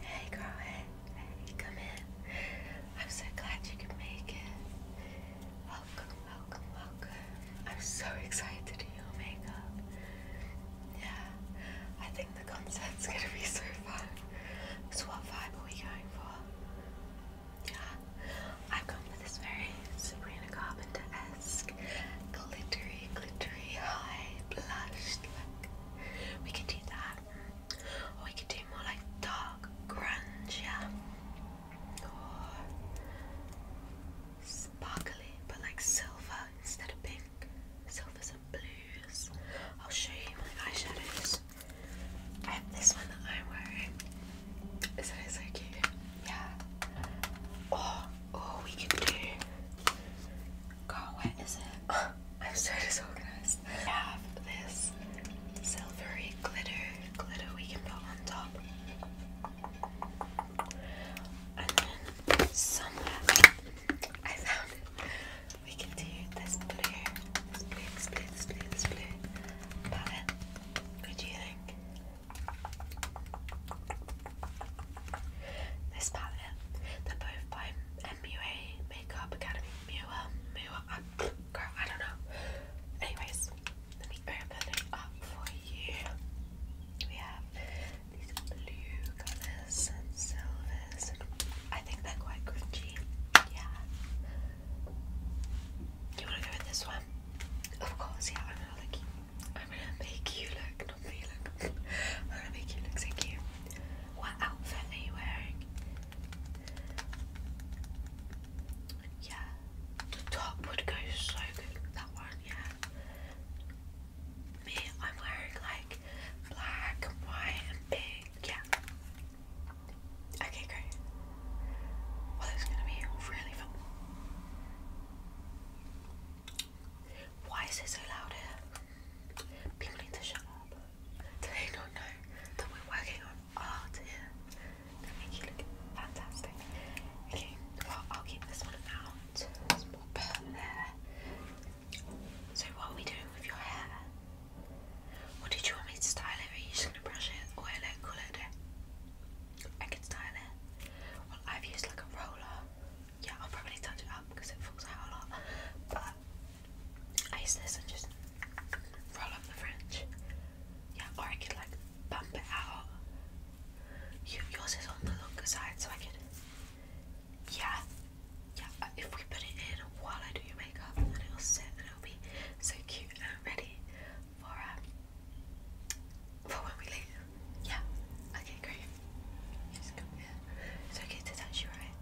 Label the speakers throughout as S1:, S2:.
S1: Hey girl, hey, come in. I'm so glad you could make it. Welcome, welcome, welcome. I'm so excited to do your makeup. Yeah, I think the concert's gonna be so fun. So what vibe are we going for? Yeah, i am going for this very Sabrina Carpenter-esque, glittery, glittery, high, blushed look. We can do that we could do more like dark grunge, yeah. sparkly, but like silver instead of pink. Silvers and blues. I'll show you my eyeshadows. I have this one that I'm wearing. is it so Yeah. Or, oh, or oh, we could do. God, where is it? I'm so disorganized. We have this silvery glitter, glitter we can put on top. And then somewhere I found it. We can do this blue, blue, blue, blue, blue palette. What do you think? This palette, they're both by MUA Makeup Academy. Mua, Mua, uh, girl, I don't know. Anyways, let me open it up for you. We have these blue colors silvers. I think they're quite crunchy. Yeah. You wanna go with this one? Of course, yeah. I'm gonna look. I'm gonna make you look, not me look. I'm gonna make you look so cute. What outfit are you wearing? Yeah, the top would go so good with that one, yeah. Me, I'm wearing like black white and pink, yeah. Okay, great. Well, it's gonna be really fun. Why is it so loud here? People need to shut up. Do they not know that we're working on art here? They make you look fantastic. Okay, I'll keep this one out. Let's put there. So, what are we doing with your hair? What did you want me to style it? Are you just gonna brush it, oil it, colour it? I can style it. Well, I've used like a roller yeah, I'll probably touch it up because it falls out a lot. But I use this and just roll up the fringe. Yeah, or I could like bump it out. yours is on the longer side, so I could. Yeah, yeah. Uh, if we put it in while I do your makeup, then it'll sit and it'll be so cute and ready for um for when we leave. Yeah. Okay, great. Just come here. It's okay to touch you, right?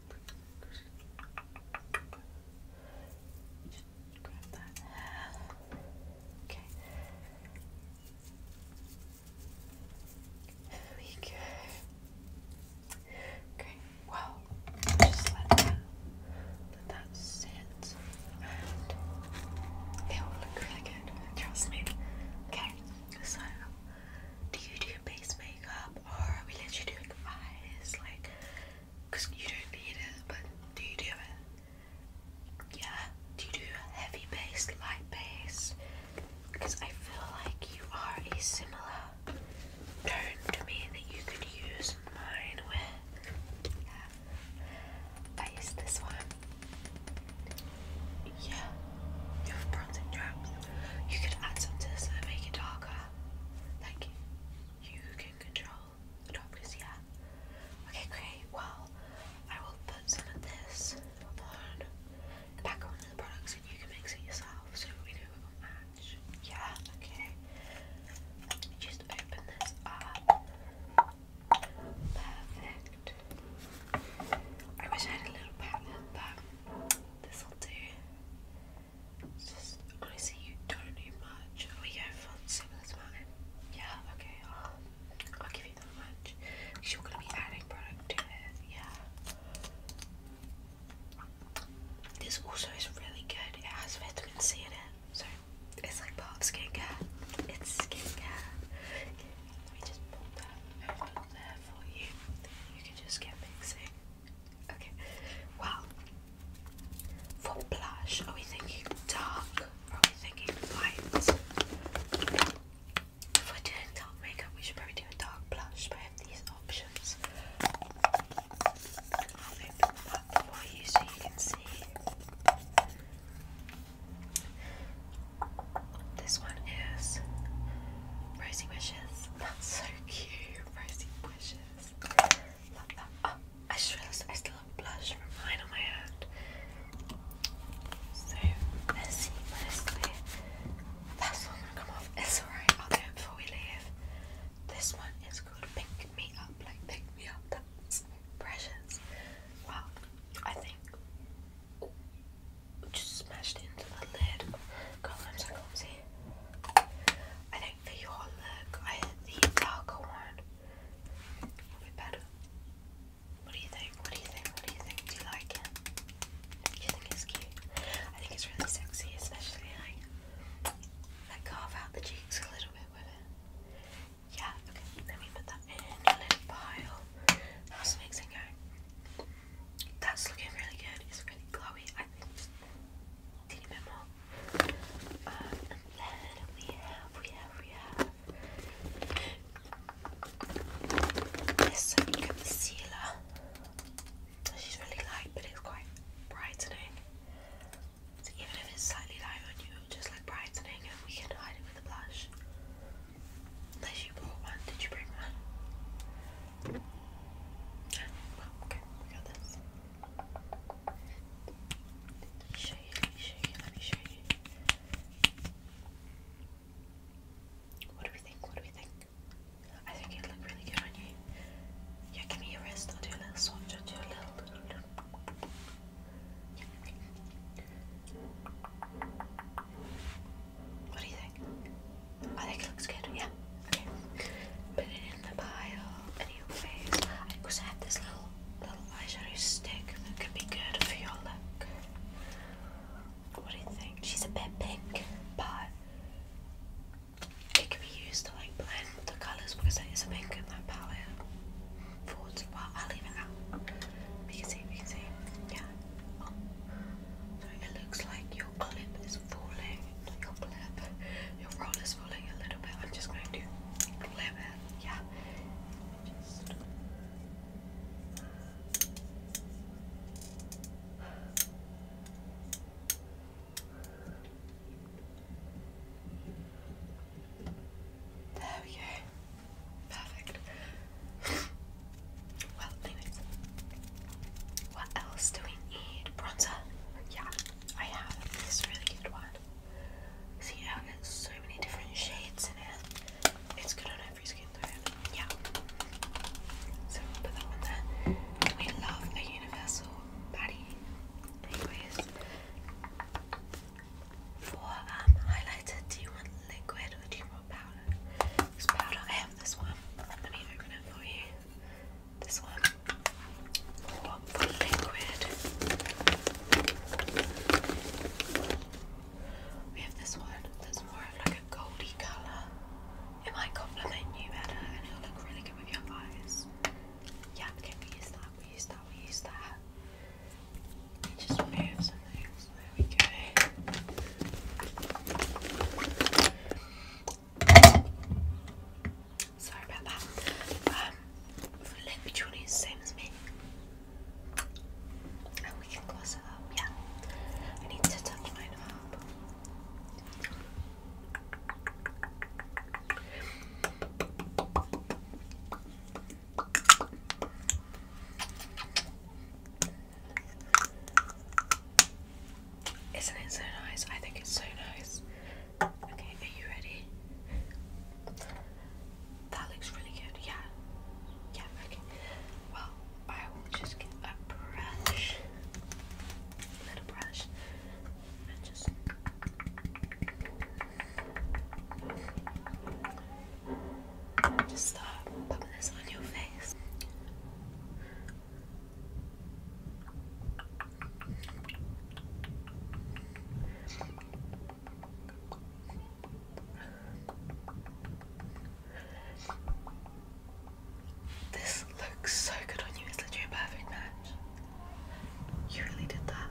S1: just Okay. There let that sit, and it will look really good. Trust me. Okay. So, do you do base makeup or we let you do your eyes, like, you don't need it, but do you do it? Yeah? Do you do heavy base, light base? Because I feel like you are a similar tone to me that you could use mine with. Yeah. I use this one. Yeah. You have bronze and You could add some to this and make it darker. Like you can control the darkness, yeah. Okay, great. Well, I will put some of this on the background of the products and you can mix it yourself so we know it match. Yeah, okay. just open this up. Perfect. I wish I had a little palette, but this will do. just honestly, you don't need much. We go for similar amount. Yeah, okay. I'll, give you that much. Because you're gonna be adding product to it. Yeah. This also is really good. It has vitamin C in it, so it's like part of skincare. It's skincare. Let me just put that over there for you. You can just get mixing. Okay. Well, for blush, are we thinking dark or are we thinking light? If we're doing dark makeup, we should probably do a dark blush, but I have these options. I'll open them up for you so you can see. This one is Rosy Wishes. That's so cute. Rosy bushes. Love that. Oh, I still have blush from on my hand. So messy, That's not gonna come off. It's alright, I'll do it before we leave. This one is called Pick Me Up. Like, pick me up. That's precious. Wow. I think just smashed into the lid. God, I'm so clumsy. I think for your look, I the darker one will be better. What do you think? What do you think? What do you think? Do you like it? Do you think it's cute? I think it's really sexy, especially like like carve out the cheeks a little bit with it. Yeah, okay, let me put that in a little pile. How's mixing going? That's looking really good. It's really glowy. I think teeny bit more. Um, and then we have, we have, we have this concealer. She's really light, but it's quite brightening. So even if it's slightly light on you, just like brightening, we can hide it with a blush. Unless you bought one, did you bring one? Okay, Let me show you, let me show you, let me show you. What do we think? What do we think? I think it'd look really good on you. Yeah, give me your wrist. do a little swatch. do a little. What do you think? I think it looks good, yeah. Okay. Put it in the pile, anyways. I also have this little little eyeshadow stick that could be good for your look. What do you think? She's a bit pink, but it could be used to like blend the colours because there is a pink in that palette. Forwards, well, I'll leave it out. We can see, Yeah. Oh, so it looks like your clip is falling. Your clip. Your roll is falling a little bit. I'm just going to clip it. Yeah. There we go. Perfect. Well, anyways. What else do we need? Bronzer. Yeah, I have this really good one. See how it has so many different shades in it. It's good on every skin tone. Yeah. So we'll put that one there. We love a universal body. Anyways. For um highlighter, do you want liquid or do you powder. This powder, I have this one. Let me open it for you. This one. What for liquid? We have this one that's more of like a goldy colour. It might complement you better and it'll look really good with your eyes. Yeah, we use that, we use that, we use that. Just move some There we go. Sorry about that. Um, flip Johnny is same as me. And we can gloss it up, yeah. I need to touch my up. Isn't it so nice? I think it's so nice. Okay, are you ready? That looks really good. Yeah. Yeah, okay. Well, I will just get a brush. little brush. And just. Just start popping this on your face. This looks so good on you, it's literally a perfect match. You really did that.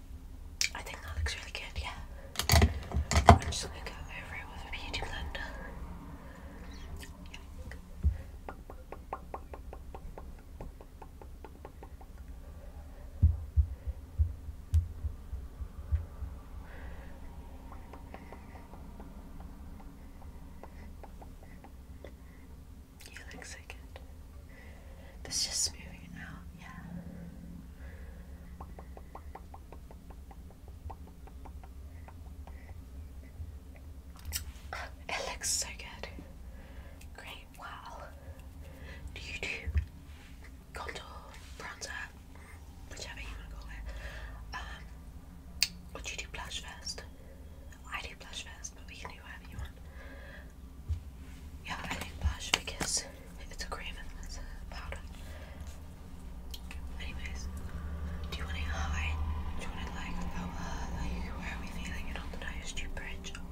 S1: I think that looks really good, yeah. I'm just gonna go over it with a beauty blender. You look so good. This just smoothing now. yeah. It looks so good. Great, wow. Do you do contour, bronzer, whichever you want to call it? Um, or you do blush first? I do blush first, but we can do whatever you want. Yeah, I think blush because it's a cream and it's a powder. Anyways, do you want to high? Do you want to like lower? Like where are we feeling it on the nose? bridge or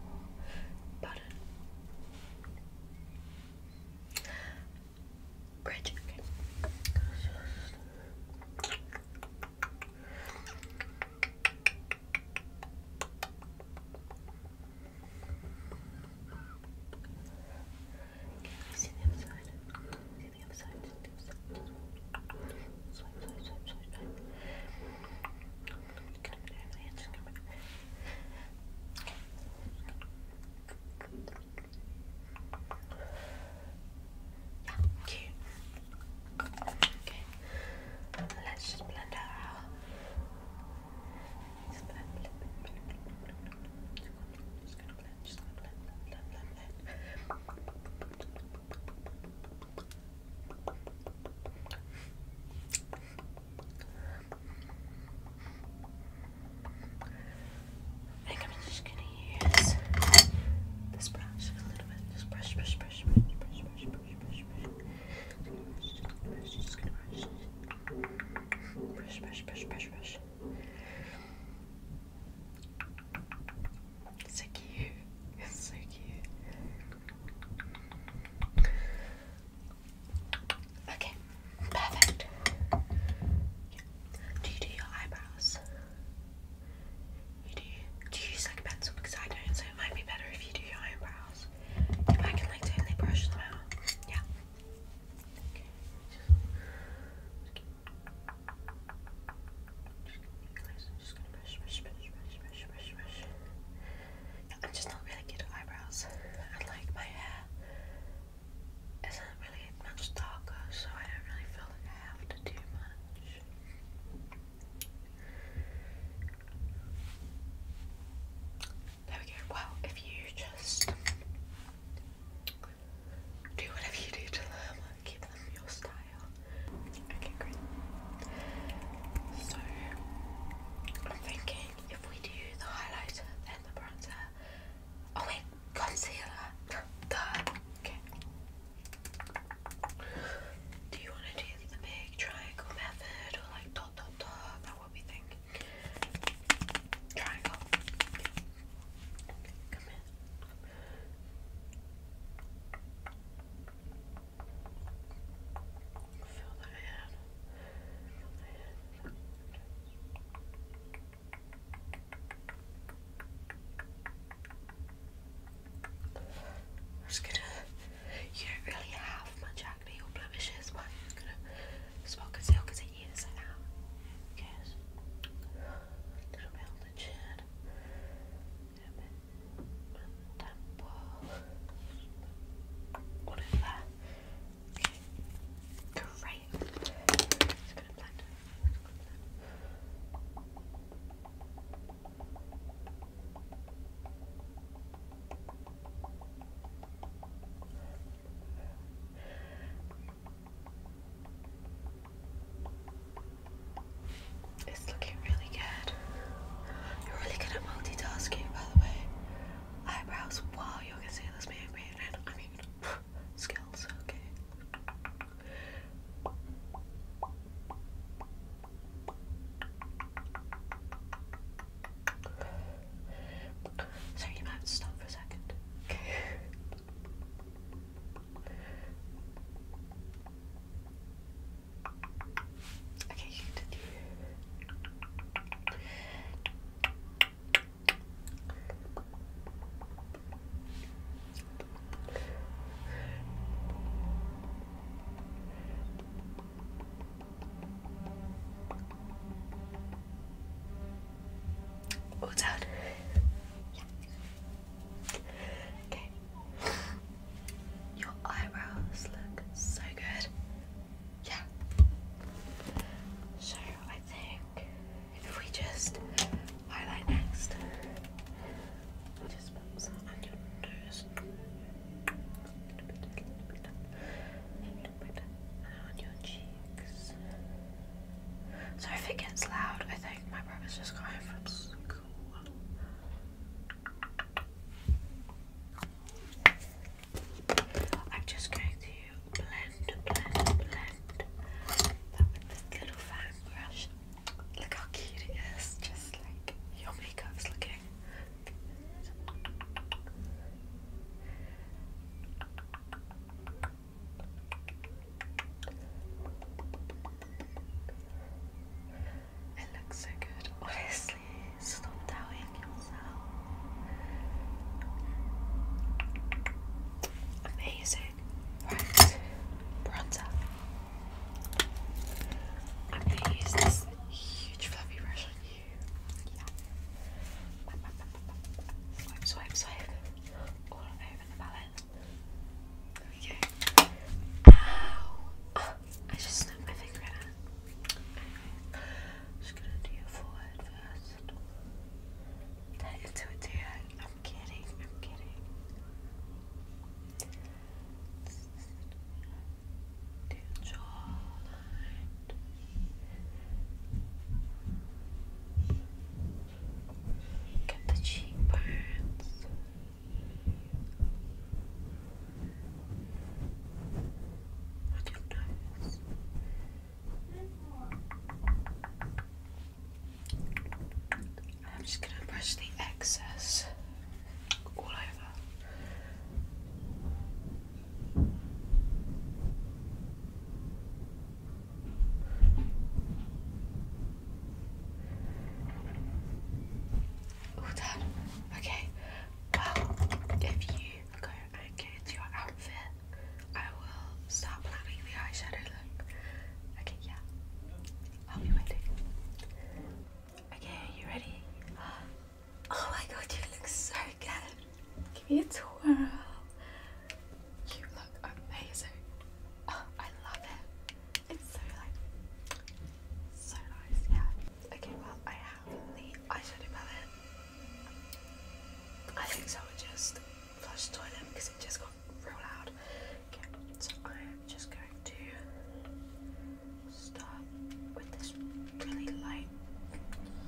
S1: Bridge. Okay. See the other side. See the other side. See the other side. Swipe, swipe, Okay, let's just blend her out. Just blend, I think I'm just gonna use this brush a little bit. Just brush, brush, brush, brush, brush, brush, brush, so cute. so cute. Okay, perfect. Do you do your eyebrows? You do. Do you use like a pencil? Because I don't, so it might be better if you do your eyebrows. I can like totally brush them out. Yeah. I'm just not really good at eyebrows. I like my hair isn't really much darker, so I don't really feel like I have to do much. There we go. Well, if you just do whatever you do to them, keep them your style. Okay, great. So I'm thinking if we do the highlighter, then the bronzer. Oh wait, concealer. Duh. Okay. Do you want to do the big triangle method or like dot dot dot? not what we think. Triangle. Come in. Fill that in. Fill that in. We're just gonna. You don't really have much acne or blemishes, but I'm gonna spot conceal because it is out. Yes. A little bit of the A bit on the temple. All over there. Great. It's looking really good. You're really good at multitasking, by the way. Eyebrows, wow, you can see this being I mean, skills, okay. Sorry, you have to stop for a second. Okay. Okay. Oh, done. Okay. Your eyebrows look so good. Yeah. So I think if we just highlight next, just put some on so if it gets loud, I think my brother's just got from school. I'm just going to blend, blend, blend that with this little fan brush. Look how cute it is, just like your makeup's looking it looks so good, honestly. Stop doubting yourself. Amazing. Right, bronzer. I'm going to use this huge fluffy brush Swipe, swipe, swipe. All over the palette. There we oh, I just snapped my finger just gonna do your forehead first. That is to it, I'm kidding, I'm kidding to the cheekbones. On your nose. I'm just gonna brush the excess all over. All done. Okay. Well, if you go and get your outfit, I will start planning the eyeshadow look. Okay, yeah. I'll be waiting. Okay, you ready? Oh my god, you look so good. Give me a twirl. You look amazing. Oh, I love it. It's so like so nice, yeah. Okay, well I have the eyeshadow palette. I think so just flush toilet because it just got real loud. so I am just going to start with this really light,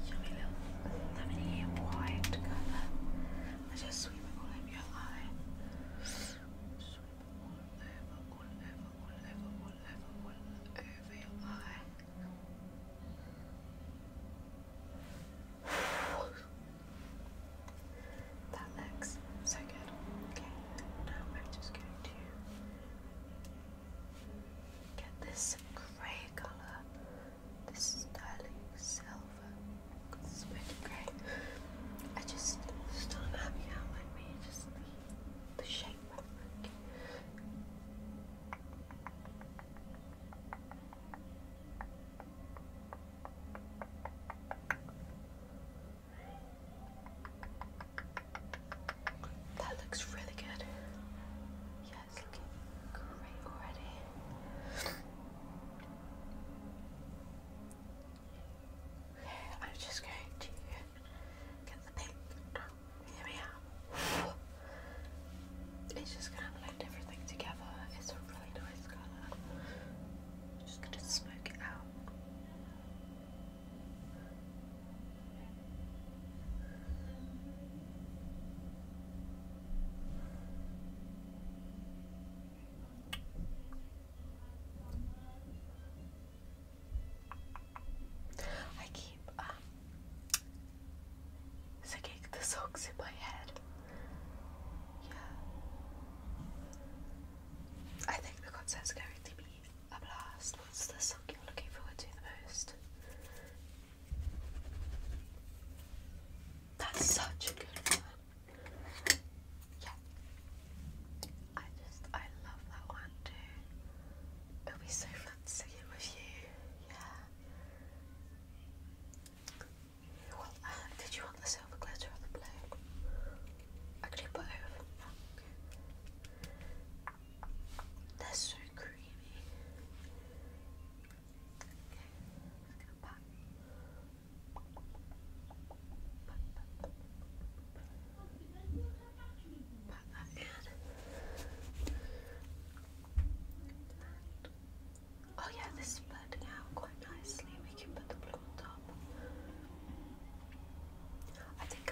S1: yummy little lemony white colour. I just sweep it all over your eye. Sweep it all over, all over, all over, all over, all over your eye. That looks so good. Okay, now I'm just going to Get this grey colour. This sterling silver. It's pretty grey. I just still am happy how I made just the, the shape. Like. Okay. That looks really good. Yeah, looking great already. Okay, I'm just going to get the pink. Here we are. It's just gonna blend everything together. It's a really nice colour. I'm just gonna smoke it out. I keep um, singing the songs in my head. Yeah. I think the concert's going to be a blast. What's the song you're looking forward to the most? That's such a good one. Yeah. I just, I love that one too. It'll be so fun singing with you. Yeah. Well, uh, did you want the silver glitter or the blue? I could put that's so creamy. Okay, just gonna pop. Oh yeah, this is blending out quite nicely. We can put the blue on top. I think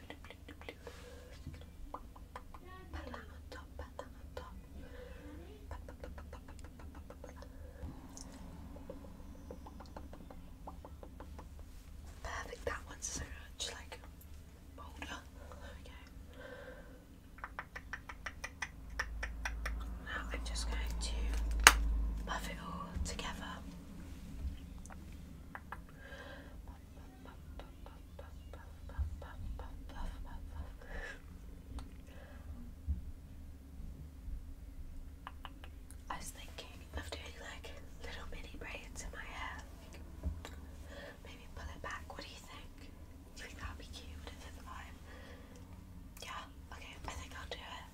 S1: Perfect, that one's so much like bolder. There Now I'm just going to buff it all together. I was thinking of doing like little mini braids in my hair. maybe pull it back. What do you think? Do you think that'd be cute? Yeah, okay, I think I'll do it.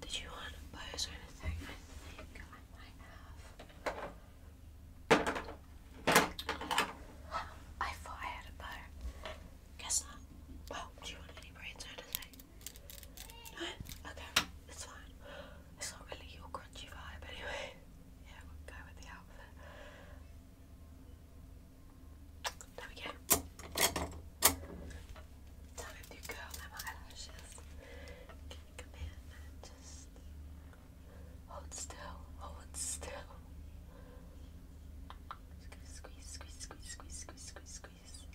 S1: Did you want bows or anything? I think I might have. I thought I had a bow. Guess not. Well, oh, do you want any brains or anything? Okay, it's fine. It's not really your crunchy vibe anyway. Yeah, we'll go with the outfit. There we go. Time to curl them eyelashes. Can come in just Hold still. Hold still. Squeeze, squeeze, squeeze, squeeze, squeeze, squeeze, squeeze.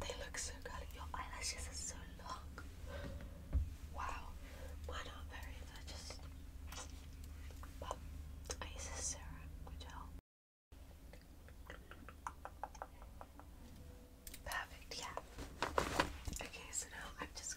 S1: They look so curly. Your eyelashes are so long. Wow. Mine not very, they just. I use a serum, which helps. Perfect, yeah. Okay, so now I'm just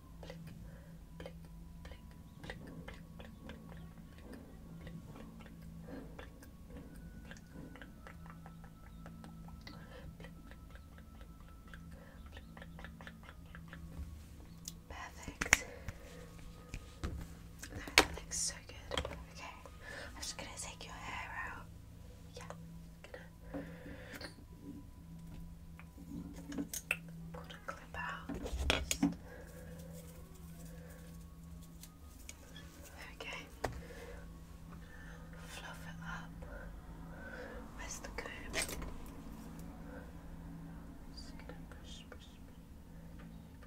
S1: blink, blink, Perfect. that looks so good. Okay, I'm just gonna take your hair out. Yeah, Pull the clip out. Okay. Fluff it up. Where's the comb? It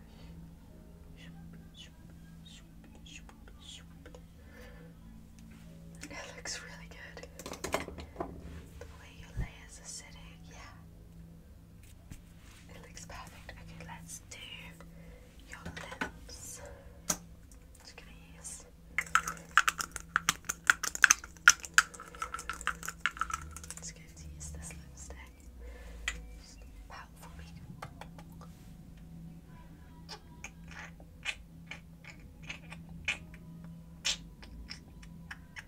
S1: looks really good. The way your layers are sitting, yeah. It looks perfect. Okay, let's do your lips. Just gonna use. Just going to use this lipstick. Just for me. Okay.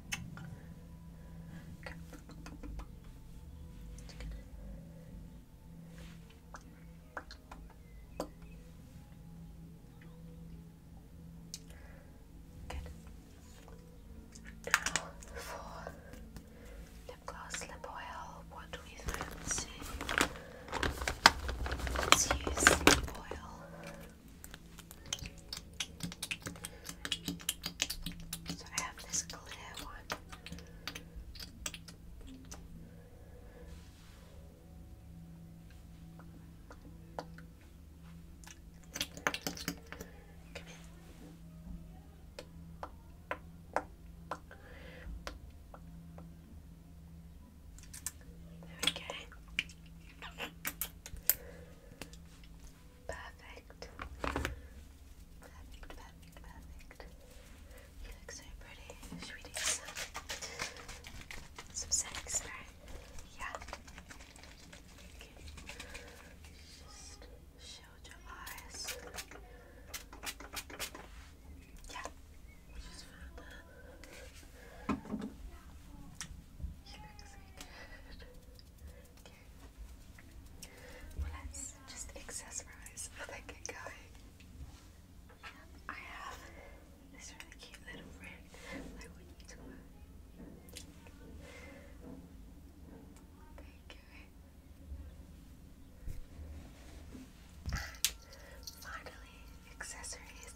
S1: Good. lip gloss, lip oil, what do we fancy? Let's use lip oil. So I have this clear one. Come here. There we go. Perfect. Perfect, perfect, perfect. You look so pretty. Should we do some, some sex, right? Yeah. Okay. your eyes. Yeah let's just accessorize how get going. I have this really cute little ring that I want to wear. There you go. finally, accessories.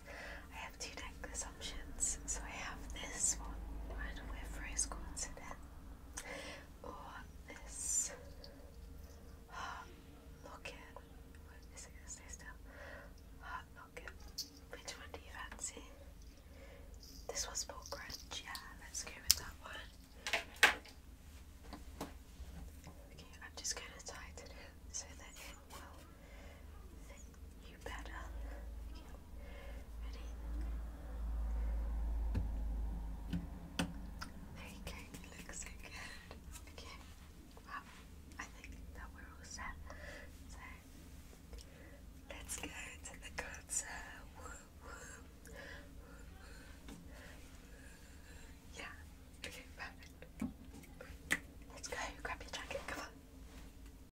S1: I have two tank assumptions. So I have this one right away for his coincidence, or this. Heart locket. What is it? Stay still. Heart locket. Which one do you fancy? This one's more crunch. Yeah, let's go with that one. Okay, I'm just going to tighten it so that it will you better. Ready? There you good. Okay. Well, I think that we're all set. So let's go to the concert. Yeah. Okay, perfect. Let's go. Grab your jacket. Come on.